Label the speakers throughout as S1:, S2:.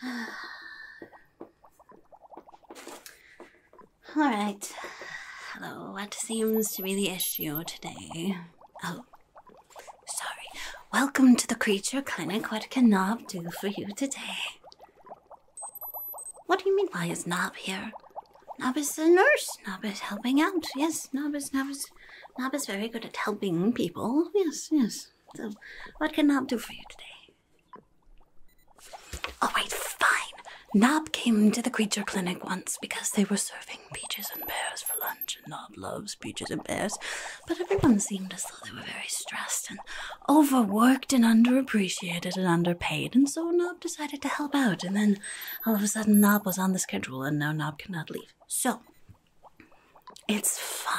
S1: Alright. Hello, what seems to be the issue today? Oh, sorry. Welcome to the Creature Clinic. What can Nob do for you today? What do you mean, why is Nob here? Nob is a nurse. Nob is helping out. Yes, Nob is, Nob is, yes. Nob is very good at helping people. Yes, yes. So, what can Nob do for you today? Oh wait, fine. Nob came to the creature clinic once because they were serving peaches and pears for lunch, and Nob loves peaches and pears. But everyone seemed as though they were very stressed and overworked and underappreciated and underpaid, and so Nob decided to help out. And then all of a sudden, Nob was on the schedule, and now Nob cannot leave. So, it's fine.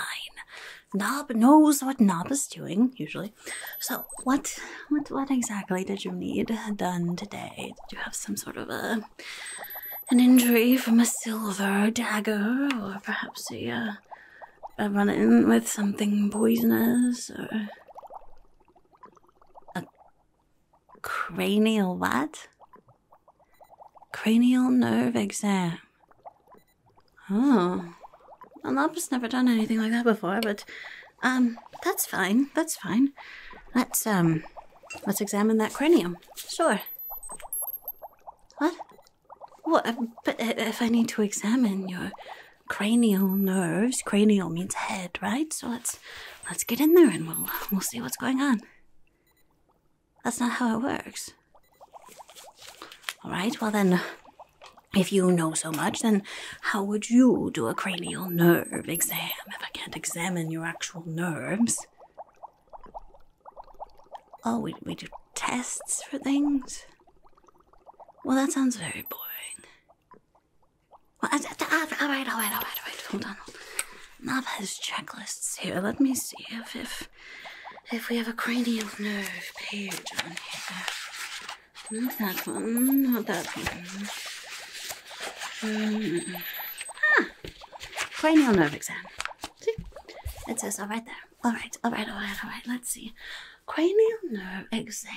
S1: Nob knows what Nob is doing usually. So what what what exactly did you need done today? Did you have some sort of a an injury from a silver dagger, or perhaps a, uh, run in with something poisonous, or a cranial what? Cranial nerve exam. Oh. Well, I've never done anything like that before, but um, that's fine. That's fine. Let's um, let's examine that cranium. Sure. What? What? Uh, but uh, if I need to examine your cranial nerves, cranial means head, right? So let's let's get in there and we'll we'll see what's going on. That's not how it works. Alright, well then, if you know so much, then how would you do a cranial nerve exam if I can't examine your actual nerves? Oh, we, we do tests for things? Well, that sounds very boring. Well, all right, all right, all right, all right. Hold on. Map has checklists here. Let me see if if we have a cranial nerve page on here. Not that one. Not that one. Um, ah, cranial nerve exam. it says all right there. All right, all right, all right, all right. Let's see. Cranial nerve exam.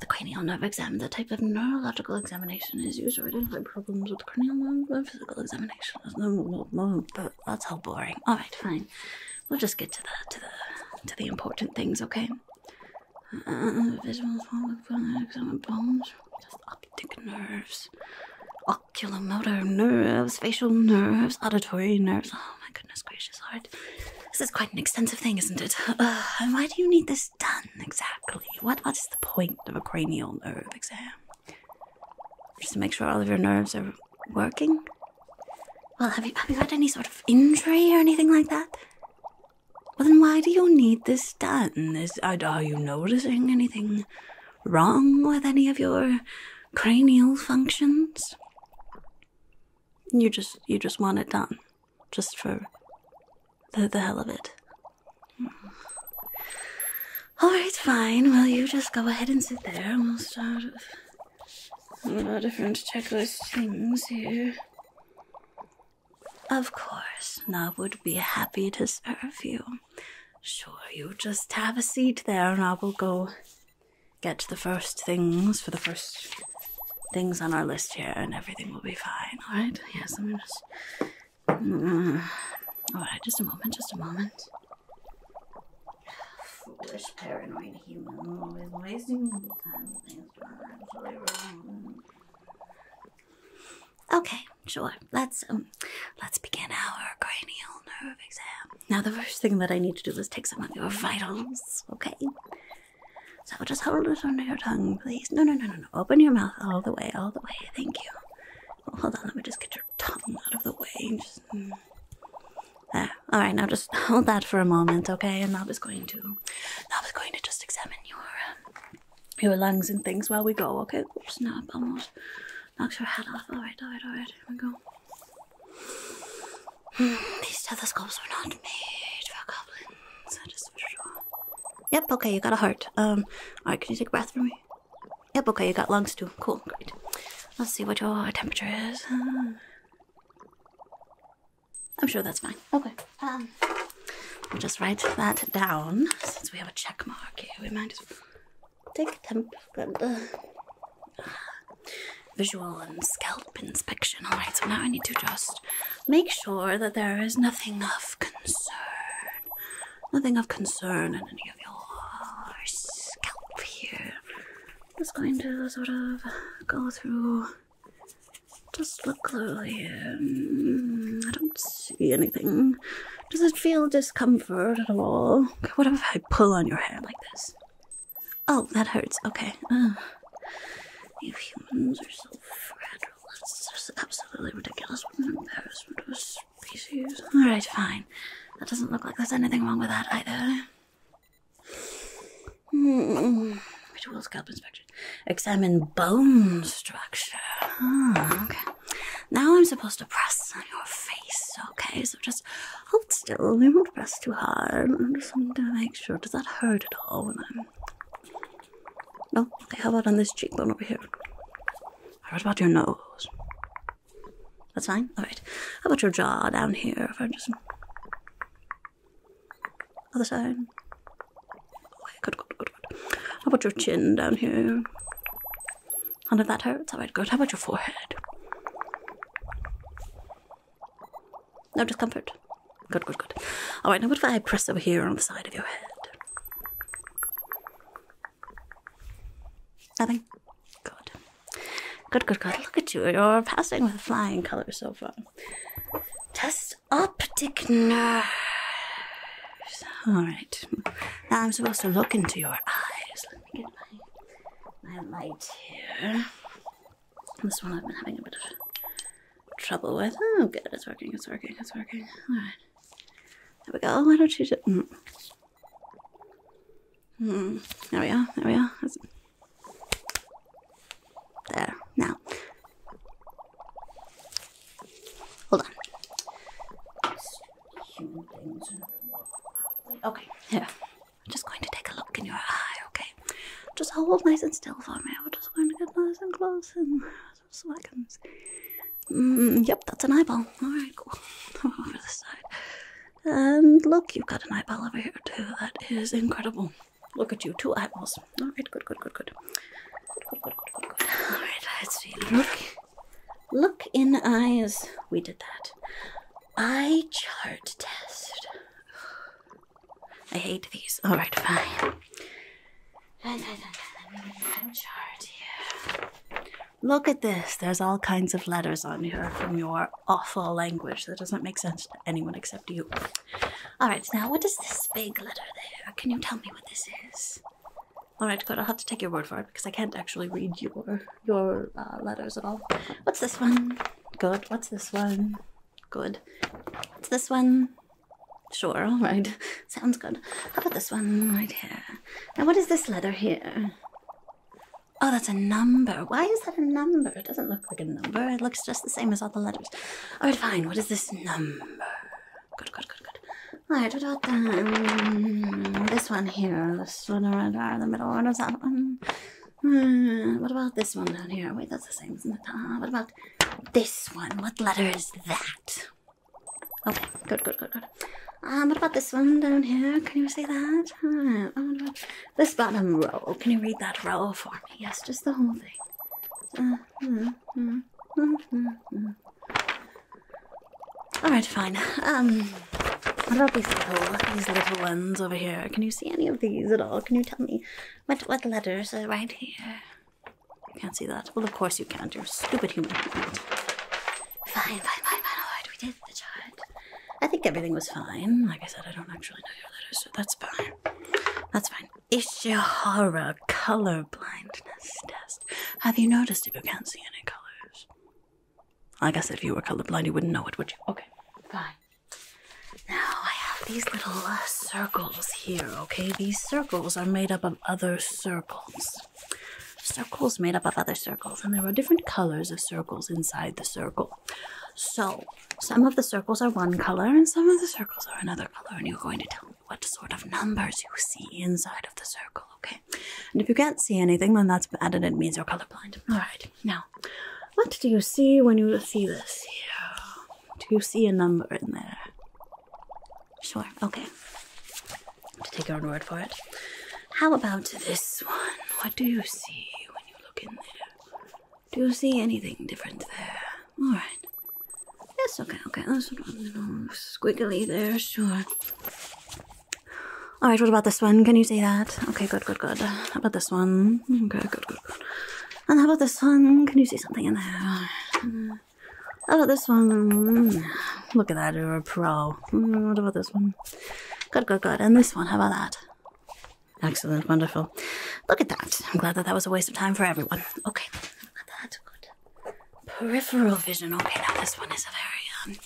S1: The cranial nerve exam, is a type of neurological examination, is used to identify problems with cranial nerve physical examination. No more, But that's all boring. All right, fine. We'll just get to the to the to the important things, okay? Uh, visual examine bones, optic nerves, oculomotor nerves, facial nerves, auditory nerves. Oh my goodness gracious heart! This is quite an extensive thing, isn't it? Uh, why do you need this done exactly? what is the point of a cranial nerve exam? Just to make sure all of your nerves are working. Well, have you, have you had any sort of injury or anything like that? Well, then why do you need this done? Is, are you noticing anything wrong with any of your cranial functions? You just you just want it done, just for the the hell of it. Alright, fine. Well, you just go ahead and sit there and we'll start with our different checklist things here. Of course, I would be happy to serve you. Sure, you just have a seat there and I will go get the first things for the first things on our list here and everything will be fine, alright? Yes, I'm just all right, just a moment, just a moment. Foolish, paranoid human, Okay, sure. Let's um, let's begin our cranial nerve exam. Now, the first thing that I need to do is take some of your vitals. Okay. So just hold it under your tongue, please. No, no, no, no, no. Open your mouth all the way, all the way. Thank you. Hold on, let me just get your tongue out of the way. Hmm. There. All right, now just hold that for a moment, okay? And Nob is going to, Nob is going to just examine your, uh, your lungs and things while we go, okay? Oops, Nob almost knocked your head off. All right, all right, all right. Here we go. Mm, these stethoscopes were not made for goblins. Yep. Okay, you got a heart. Um. All right. Can you take a breath for me? Yep, okay, you got lungs too. Cool, great. Let's see what your temperature is. I'm sure that's fine. Okay. Um, we'll just write that down since we have a check mark here. We might as well take a temperature, uh, visual and scalp inspection. All right, so now I need to just make sure that there is nothing of concern nothing of concern in any of your scalp here. Just going to sort of go through. Just look closely here. I don't see anything. Does it feel discomfort at all? what if I pull on your hair like this? Oh, that hurts. Okay. you humans are so fragile. That's just absolutely ridiculous. What an embarrassment. Alright, fine. That doesn't look like there's anything wrong with that either. Mm. Ritual scalp inspection. Examine bone structure. Ah, okay. Now I'm supposed to press on your face. Okay, so just hold still. You won't press too hard. I'm just going to make sure. Does that hurt at all No? how about on this cheekbone over here? I about your nose? That's fine? Alright. How about your jaw down here? If I just. Other side. Okay, good, good, good, good. How about your chin down here? None of that hurts? Alright, good. How about your forehead? No discomfort? Good, good, good. Alright, now what if I press over here on the side of your head? Nothing. Good. Good, good, good. Look at you. You're passing with flying colors so far. Test optic nerves. All right. Now I'm supposed to look into your eyes. Let me get my, my light here. This one I've been having a bit of trouble with. Oh, good. It's working. It's working. It's working. All right. There we go. Why don't you just. Mm. There we are. There we are. There. Now. Hold on. Okay. Yeah. I'm just going to take a look in your eye, okay? Just hold nice and still for me. We're just going to get nice and close so that comes. Mm, yep, that's an eyeball. Alright, cool. over the side. And look, you've got an eyeball over here too. That is incredible. Look at you, two eyeballs. Alright, good, good, good, good. Good, good, good, good, good. Alright, let's see. Look. Look in eyes. We did that. Eye chart test. I hate these. Alright, fine. Look at this. There's all kinds of letters on here from your awful language that doesn't make sense to anyone except you. Alright, now what is this big letter there? Can you tell me what this is? Alright, good. I'll have to take your word for it because I can't actually read your your uh, letters at all. What's this one? Good. What's this one? Good. What's this one? Sure, all right. Sounds good. How about this one right here? Now, what is this letter here? Oh, that's a number. Why is that a number? It doesn't look like a number. It looks just the same as all the letters. All right, fine. What is this number? Good, good, good, good. All right, what about hmm, this one here? This one right there in the middle. What is that one? Hmm, what about this one down here? Wait, that's the same, isn't it? what about this one? What letter is that? Okay, good, good, good, good. Um, what about this one down here? Can you see that? this bottom row? Can you read that row for me? Yes, just the whole thing. Uh-huh, uh-huh, uh-huh. All right, fine. Um, what about these little, these little ones over here? Can you see any of these at all? Can you tell me what what letters are right here? You Can't see that. Well, of course you can't. You're stupid human. Fine, fine, fine, fine. All right, we did the chart. I think everything was fine. Like I said, I don't actually know your letters, so that's fine. That's fine. Ishihara color blindness test. Have you noticed if you can't see any colors? I guess if you were colorblind, you wouldn't know it, would you? Okay, fine. Now I have these little uh, circles here, okay? These circles are made up of other circles circles made up of other circles, and there are different colors of circles inside the circle. So, some of the circles are one color, and some of the circles are another color, and you're going to tell me what sort of numbers you see inside of the circle, okay? And if you can't see anything, then that's bad, it means you're colorblind. All right, now, what do you see when you see this Do you see a number in there? Sure, okay. To take your own word for it. How about this one? What do you see when you look in there? Do you see anything different there? Alright. Yes, okay, okay. That's what little squiggly there, sure. Alright, what about this one? Can you see that? Okay, good, good, good. How about this one? Okay, good, good, good. And how about this one? Can you see something in there? How about this one? Look at that, you're a pro. Hmm, what about this one? Good, good, good. And this one, how about that? Excellent, wonderful. Look at that. I'm glad that that was a waste of time for everyone. Okay, look Good. Peripheral vision. Okay, now this one is a very, um,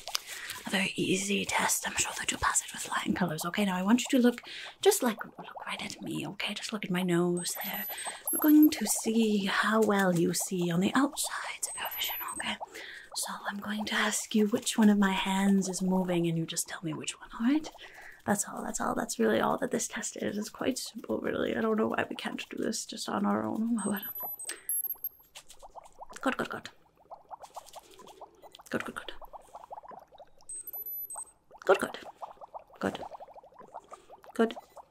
S1: a very easy test. I'm sure that you'll pass it with flying colors. Okay, now I want you to look, just like, look right at me, okay? Just look at my nose there we're going to see how well you see on the outside of your vision, okay? So I'm going to ask you which one of my hands is moving, and you just tell me which one, alright? That's all, that's all, that's really all that this test is. It's quite simple, really. I don't know why we can't do this just on our own. Good, good, good. Good, good. Good. Good.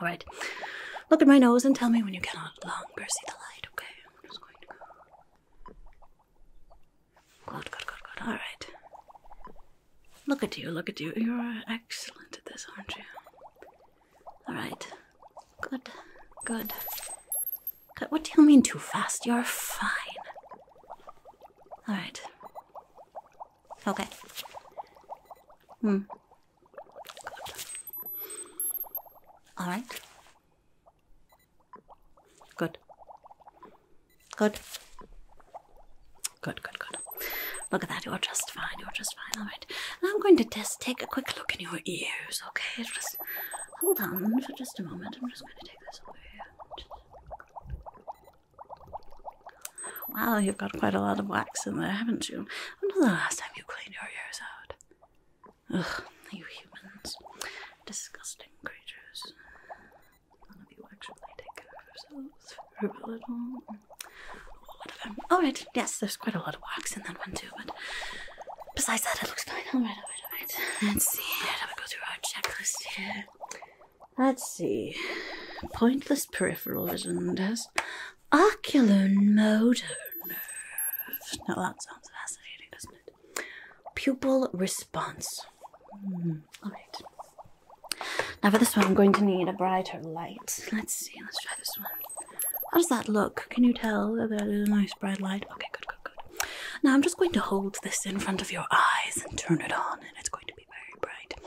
S1: All right. Look at my nose and tell me when you cannot longer see the light, okay? Good, good, good, good. All right. Look at you, look at you. You're excellent at this, aren't you? All right. Good, good. God, what do you mean too fast? You're fine. All right. Okay. Hmm. All right. Good. Good. Good, good, good. Look at that. You're just fine. You're just fine. All right. I'm going to just take a quick look in your ears, okay? Just hold on for just a moment. I'm just going to take this over here. Wow, you've got quite a lot of wax in there, haven't you? When last time you clean your ears out. Ugh, you humans. Disgusting creatures. None of you actually take care of yourselves very little. Whatever. Alright, oh, yes, there's quite a lot of wax in that one too, but besides that, it looks fine. Alright, alright, alright. Let's see. Let me go through our checklist here. Let's see. Pointless peripheral vision test. Ocular motor nerve. Now that sounds fascinating, doesn't it? Pupil response. Hmm, all right. Now for this one, I'm going to need a brighter light. Let's see. Let's try this one. How does that look? Can you tell that that is a nice bright light? Okay, good, good, good. Now I'm just going to hold this in front of your eyes and turn it on, and it's going to be very bright.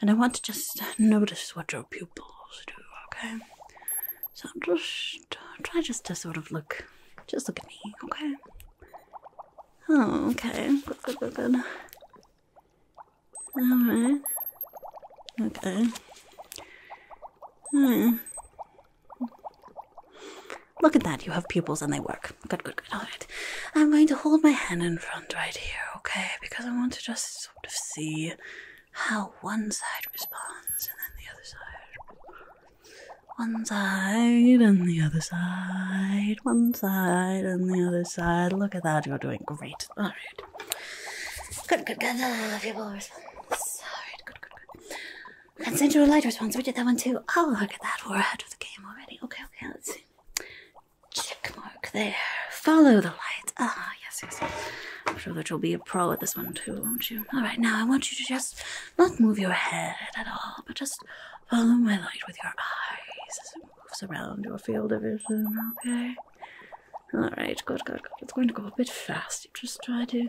S1: And I want to just notice what your pupil pupils do, okay? So just uh, try just to sort of look, just look at me, okay? Oh, okay, good, good, good, good. Alright. Okay. Hmm. Look at that, you have pupils and they work. Good, good, good. Alright. I'm going to hold my hand in front right here, okay? Because I want to just sort of see how one side responds and then the other side. One side and the other side. One side and the other side. Look at that, you're doing great. Alright. Good, good, good. Uh, people response. Alright, good, good, good. Consensual light response. We did that one too. Oh, look at that. We're ahead of the game already. Okay, okay, let's see. Check there. Follow the light. Ah, yes, yes. I'm sure that you'll be a pro at this one too, won't you? All right, now I want you to just not move your head at all, but just follow my light with your eyes as it moves around your field of vision, okay? All right, good, good, good. It's going to go a bit fast. You just try to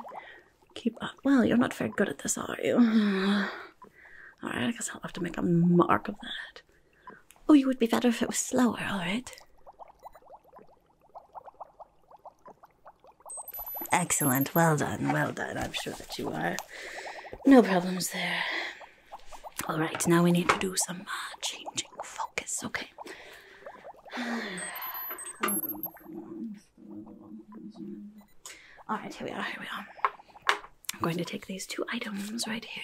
S1: keep up. Well, you're not very good at this, are you? All right, I guess I'll have to make a mark of that. Oh, you would be better if it was slower, all right? Excellent. Well done. Well done. I'm sure that you are. No problems there. All right, now we need to do some uh, changing focus, okay? All right, here we are. Here we are. I'm going to take these two items right here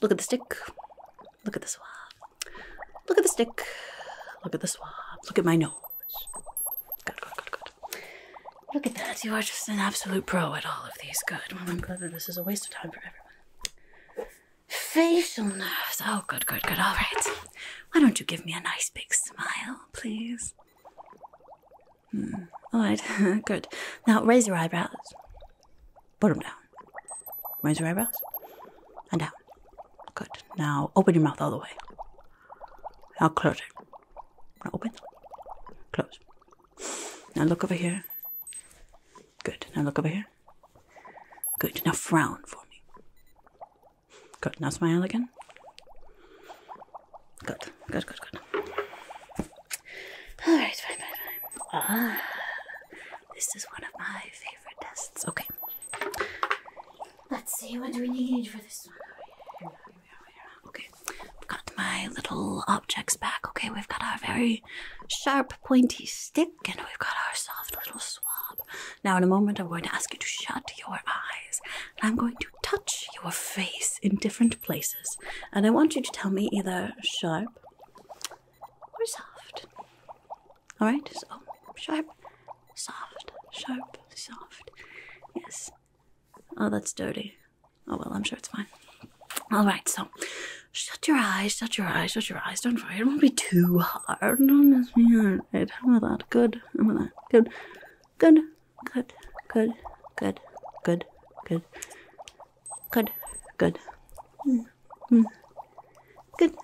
S1: Look at the stick. Look at the swab. Look at the stick. Look at the swab. Look at my nose. Good, good, good, good. Look at that. You are just an absolute pro at all of these. Good. Well, I'm glad that this is a waste of time for everyone. Facial nerves. Oh, good, good, good. All right. Why don't you give me a nice big smile, please? Hmm. All right. good. Now raise your eyebrows. Put them down. Raise your eyebrows. And down. Good. Now open your mouth all the way. Now close it. Now open. Close. Now look over here. Good. Now look over here. Good. Now frown for me. Good. Now smile again. Good. Good, good, good. Alright, fine, fine. Ah. This is one of my favorite tests. Okay. Let's see, what do we need for this one? Okay, I've got my little objects back. Okay, we've got our very sharp, pointy stick, and we've got our soft little swab. Now, in a moment, I'm going to ask you to shut your eyes, and I'm going to touch your face in different places. And I want you to tell me either sharp we're soft. Alright, so sharp, soft, sharp, soft. Yes. Oh, that's dirty. Oh, well, I'm sure it's fine. Alright, so shut your eyes, shut your eyes, shut your eyes. Don't worry, it won't be too hard. Don't be hard. How about that? Good. How about that? Good. Good. Good. Good. Good. Good. Good. Good, good. Hmm. Hmm. Good,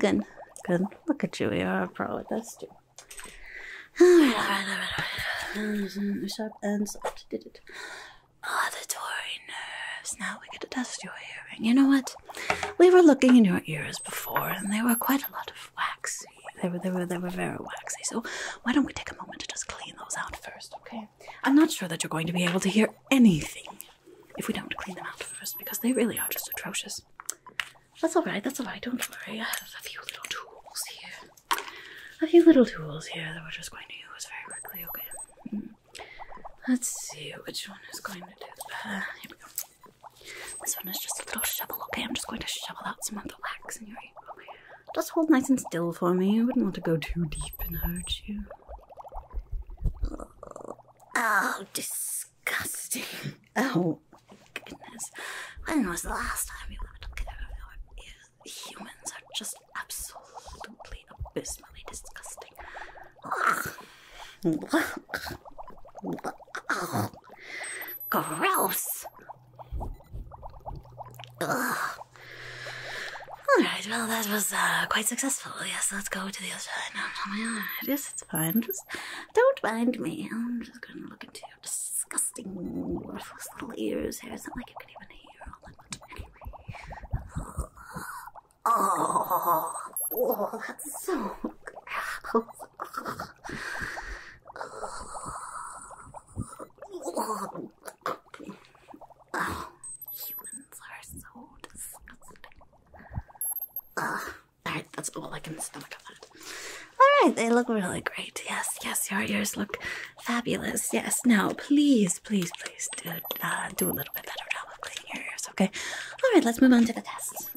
S1: good, good. Look at you, we are a pro at this too. Alright, alright, alright, alright. Sharp and soft. Did it. Auditory nerves. Now we are going to test your hearing. You know what? We were looking in your ears before, and they were quite a lot of waxy. They were, they were, they were very waxy. So why don't we take a moment to just clean those out first, okay? I'm not sure that you're going to be able to hear anything if we don't clean them out first because they really are just atrocious. That's alright, that's alright, don't worry. I have a few little tools here. A few little tools here that we're just going to use very quickly, okay? Hmm. Let's see which one is going to do uh, This one is just a little shovel, okay? I'm just going to shovel out some of the wax in your ear. Just hold nice and still for me. I wouldn't want to go too deep and hurt you. Oh, disgusting. Oh, oh goodness. When was the last time you were talking about humans are just absolutely abysmally disgusting? Gross. Alright, well, that was uh, quite successful. Yes, let's go to the other side. No, no, oh no, yes, it's fine. Just don't mind me. I'm just going to look into your disgusting, worthless little ears here. It's like you can even hear Oh, oh, that's so Humans are so disgusting. Alright, that's all I can stomach of that. Alright, they look really great. Yes, yes, your ears look fabulous. Yes, now please, please, please do, uh, do a little bit better job of cleaning your ears, okay? Alright, let's move on to the test.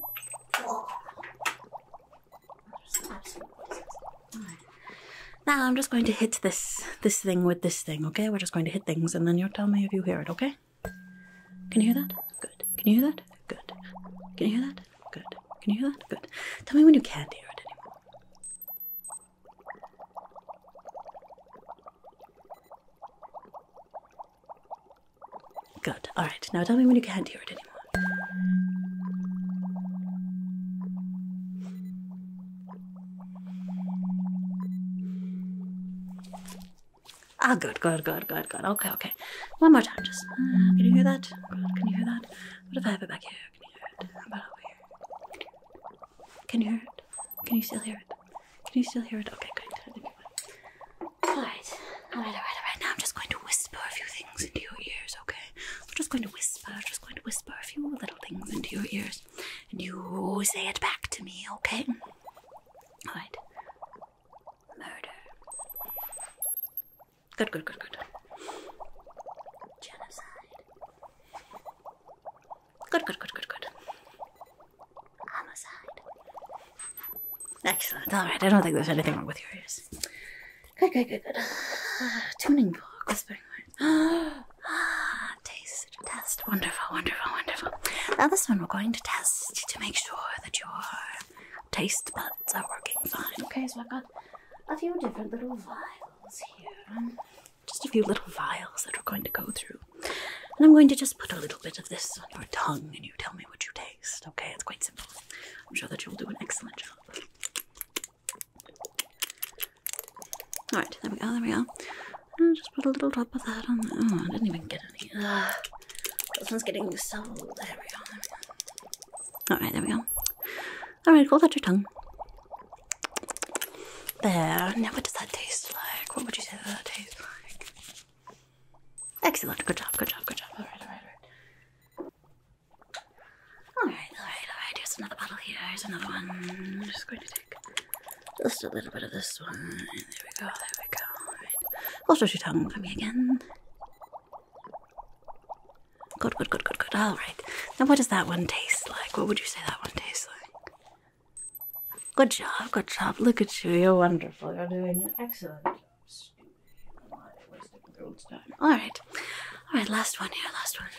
S1: Now I'm just going to hit this this thing with this thing, okay? We're just going to hit things and then you'll tell me if you hear it, okay? Can you hear that? Good. Can you hear that? Good. Can you hear that? Good. Can you hear that? Good. Tell me when you can't hear it anymore. Good. Alright, now tell me when you can't hear it anymore. Ah, good, good, good, good, good. Okay, okay. One more time, just. Uh, can you hear that? Can you hear that? What if I have it back here? Can you hear it? Can you hear it? Can you still hear it? Can you still hear it? Okay, great. I All right, all right, all right, all right. Now I'm just going to whisper a few things into your ears, okay? I'm just going to whisper, just going to whisper a few little things into your ears and you say it back to me, okay? Alright. Murder. Good, good, good, good. Genocide. Good, good, good, good, good. Homicide. Excellent. Alright, I don't think there's anything wrong with your ears. Good, good, good, good. Uh, tuning fork, whispering ah, taste test. Wonderful, wonderful, wonderful. Now this one we're going to test to make sure that your taste buds are working fine. Okay, so I've got a few different little vials here. Just a few little vials that we're going to go through. And I'm going to just put a little bit of this on your tongue and you tell me what you taste. Okay, it's quite simple. I'm sure that you'll do an excellent job. Alright, there we go, there we go. I'll just put a little drop of that on there. Oh, I didn't even get any. This one's getting so. There we go, there we go. Alright, there we go. Alright, hold out your tongue. There. Now, what does that taste like? What would you say that tastes like? Excellent. Good job, good job, good job. Alright, alright, alright. Here's another bottle Here's another one. I'm just going to take just a little bit of this one. There we go, there we go. Alright. Hold out your tongue for me again. Good, good, good, good, good. Alright. Now what does that one taste like? What would you say that one tastes like? Good job, good job. Look at you. You're wonderful. You're doing excellent Alright. Alright, last one here, last one.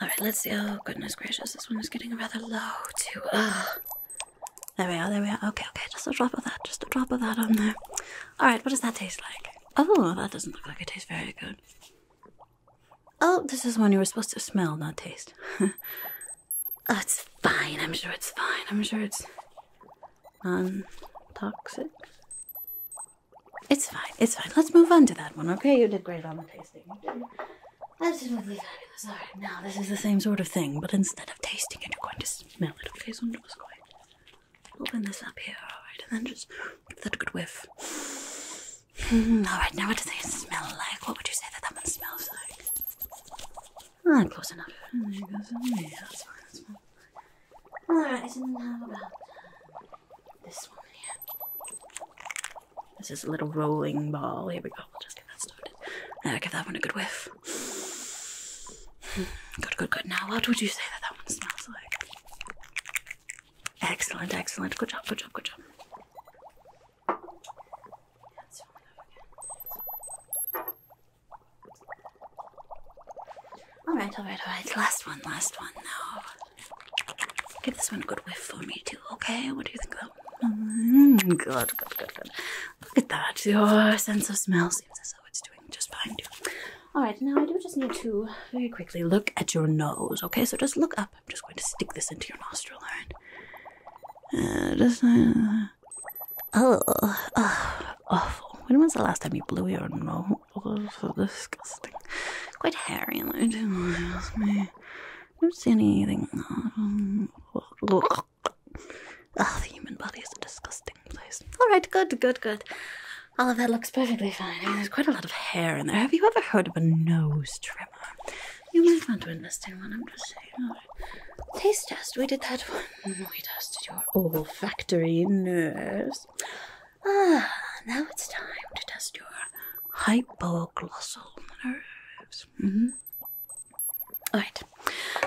S1: Alright, let's see. Oh, goodness gracious, this one is getting rather low, too. There we are, there we are. Okay, okay, just a drop of that, just a drop of that on there. Alright, what does that taste like? Oh, that doesn't look like it tastes very good. Oh, this is one you were supposed to smell, not taste. oh, it's fine, I'm sure it's fine. I'm sure it's non toxic. It's fine. It's fine. Let's move on to that one, okay? You did great on the tasting. Absolutely fabulous. All right, now this is the same sort of thing, but instead of tasting it, you're going to smell it, okay? So I'm just going to open this up here, all right, and then just give that a good whiff. Mm, all right, now what does it smell like? What would you say that that one smells like? Ah, close enough. Mm, there you go. yeah, that's fine. That's fine. Alright, and how about this one here? This is a little rolling ball. Here we go. We'll just get that started. Uh, give that one a good whiff. Good, good, good. Now, what would you say that that one smells like? Excellent, excellent. Good job, good job, good job. Alright, alright, alright. Last one, last one now. Give this one a good whiff for me too, okay? What do you think though? Mm, Look at that. Your sense of smell seems as though it's doing just fine Alright, now I do just need to very quickly look at your nose, okay? So just look up. I'm just going to stick this into your nostril, alright? Uh, just, uh, oh, oh, awful. When was the last time you blew your nose? so disgusting. Quite hairy, though, too. Trust me. Don't see anything. Oh, the human body is a disgusting place. All right, good, good, good. All of that looks perfectly fine. There's quite a lot of hair in there. Have you ever heard of a nose trimmer? You might want to invest in one. I'm just saying. Taste test. We did that one. We tested your olfactory nerves. Ah, now it's time to test your hypoglossal nerves. Mm-hmm. Alright,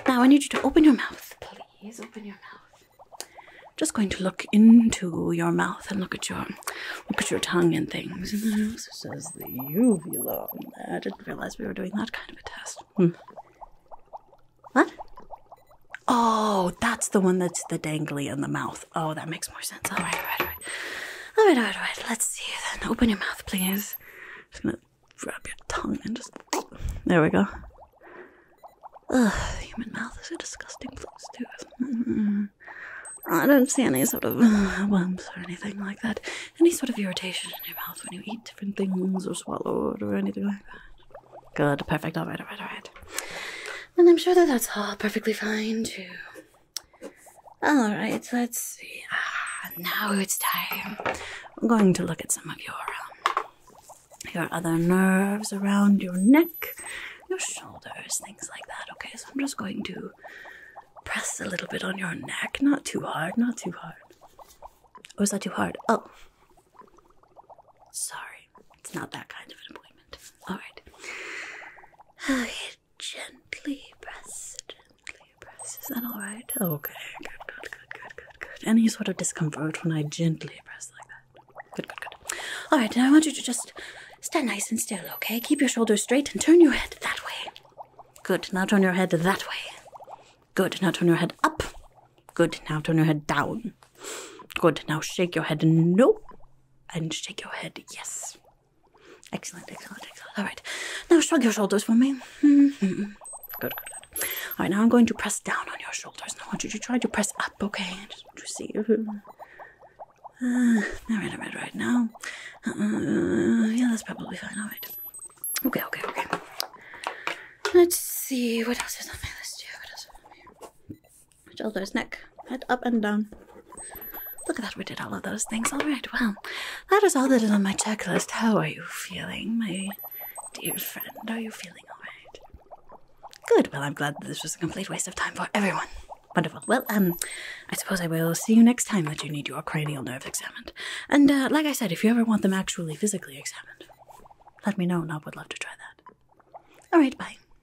S1: now I need you to open your mouth, please. Open your mouth. Just going to look into your mouth and look at your look at your tongue and things. And then it says the uvula on there. I didn't realize we were doing that kind of a test. Hmm. What? Oh, that's the one that's the dangly in the mouth. Oh, that makes more sense. All right, all right, all right. All right, all right, all right. Let's see then. Open your mouth, please. just gonna grab your tongue and just. There we go. Ugh, human mouth is a disgusting place, too, is mm-hmm. I don't see any sort of uh, worms or anything like that. Any sort of irritation in your mouth when you eat different things or swallow or anything like that. Good, perfect. All right, all right, all right. And I'm sure that that's all perfectly fine, too. Alright, let's see. Ah, now it's time. I'm going to look at some of your, um, your other nerves around your neck, your shoulders, things like that. Okay, so I'm just going to press a little bit on your neck. Not too hard, not too hard. Or is that too hard? Oh. Sorry, it's not that kind of an appointment moment. Alright. Okay, gently press, gently press. Is that alright? Okay, good, good, good, good, good, good. Any sort of discomfort when I gently press like that? Good, good, good. Alright, now I want you to just stand nice and still, okay? Keep your shoulders straight and turn your head that way. Good, now turn your head that way. Good, now turn your head up. Good, now turn your head down. Good. Now shake your head no. And shake your head yes. Excellent, excellent, excellent. All right. Now shrug your shoulders for me. Hmm, hmm, hmm. Good, All right. Now I'm going to press down on your shoulders. I want you to try to press up, okay? I just see. Uh, all right, all right, Right Now, uh, yeah, that's probably fine. All right. Okay, okay, okay. Let's see. What else is on my list here? shoulders, neck, head up and down. Look at that, we did all of those things. All right, well, that is all that is on my checklist. How are you feeling, my dear friend? Are you feeling all right? Good, well, I'm glad that this was a complete waste of time for everyone. Wonderful. Well, um, I suppose I will see you next time that you need your cranial nerves examined. And, uh, like I said, if you ever want them actually physically examined, let me know I would love to try that. All right, bye.